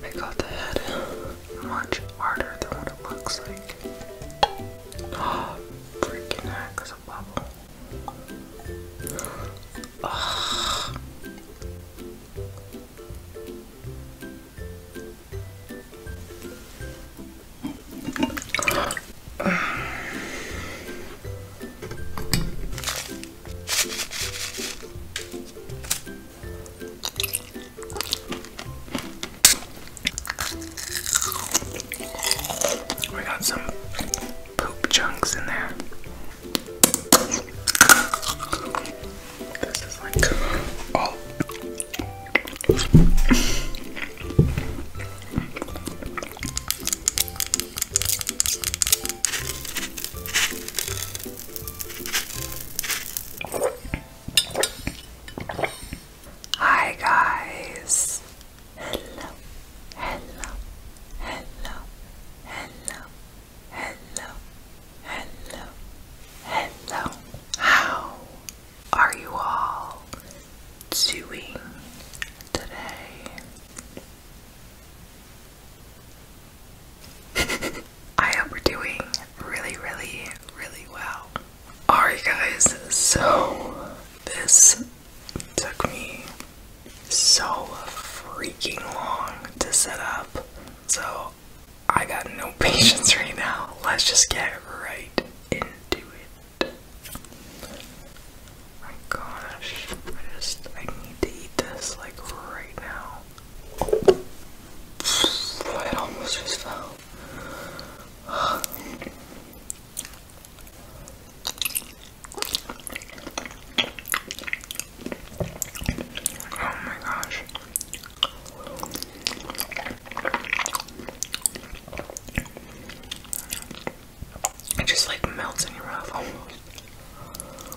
Make got the head much harder than what it looks like. freaking heck, there's a bubble. We got some poop chunks in there. This is like all. Hi guys. Hello. Hello. Hello. Hello. Hello. Hello. Hello. How are you all doing today? I hope we're doing really, really, really well. Alright, guys, so this took me so freaking long to set up, so I got no patience right now. Let's just get right into it. my gosh, I just I need to eat this like right now. It just Oh my gosh. It just like melts in your mouth almost.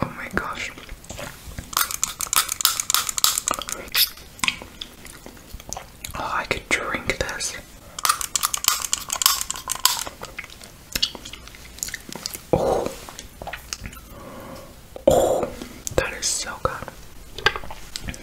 Oh my gosh. Oh, I could drink this. Oh. Oh, that is so good. Let's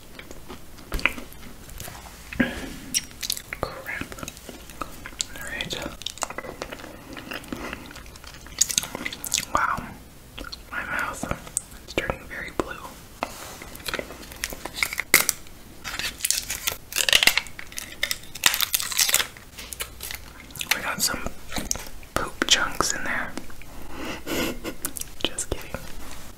Crap. Alright. Wow. My mouth is turning very blue. We got some poop chunks in there. Just kidding.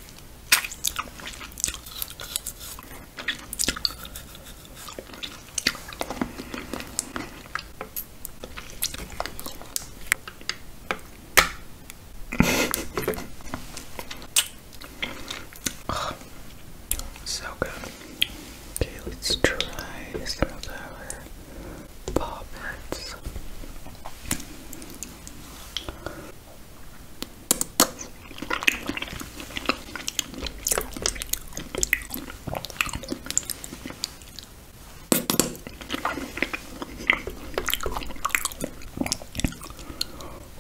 so good. Okay, let's try some of our poppets.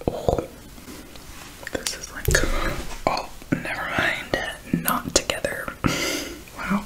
Oh, this is like, oh, never mind, not together. wow.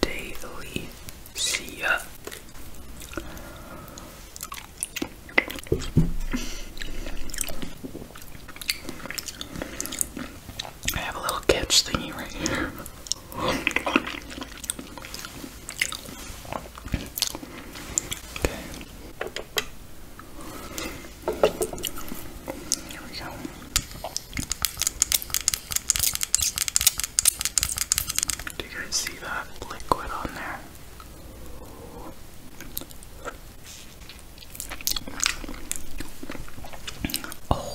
daily. See ya. I have a little catch thingy right here. Okay. Do you guys see that liquid on there? Oh.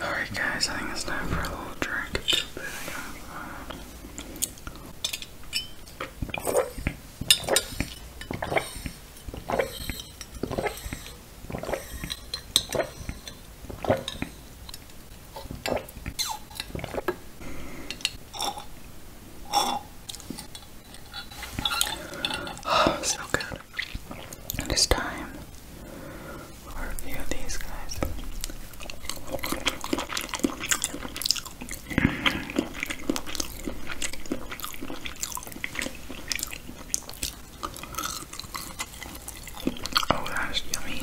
Alright, guys, I think it's time for a little drink. Oh, so good. It is time for a few of these guys. Oh, that is yummy.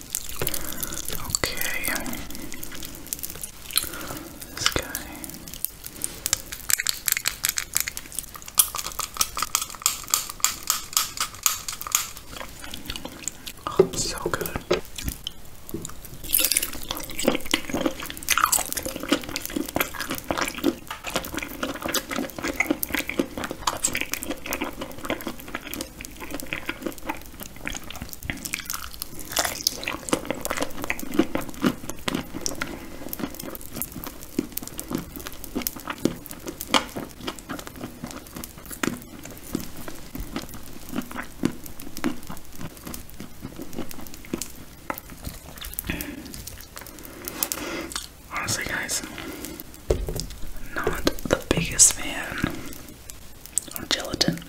Okay. This guy. Oh, so good. Honestly, guys, not the biggest fan on gelatin.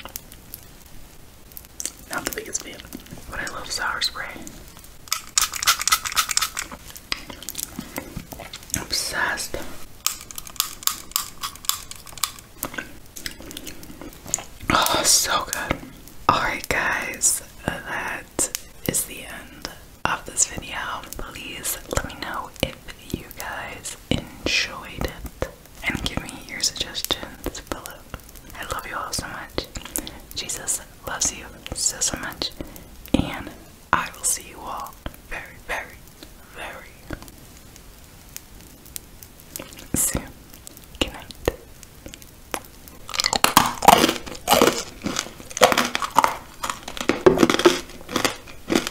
Not the biggest fan, but I love sour spray. Obsessed. Oh, so good. Alright, guys, that is the end of this video. Please let me know if you guys enjoyed it and give me your suggestions below. I love you all so much. Jesus loves you so, so much. And I will see you all very, very, very soon. Good night.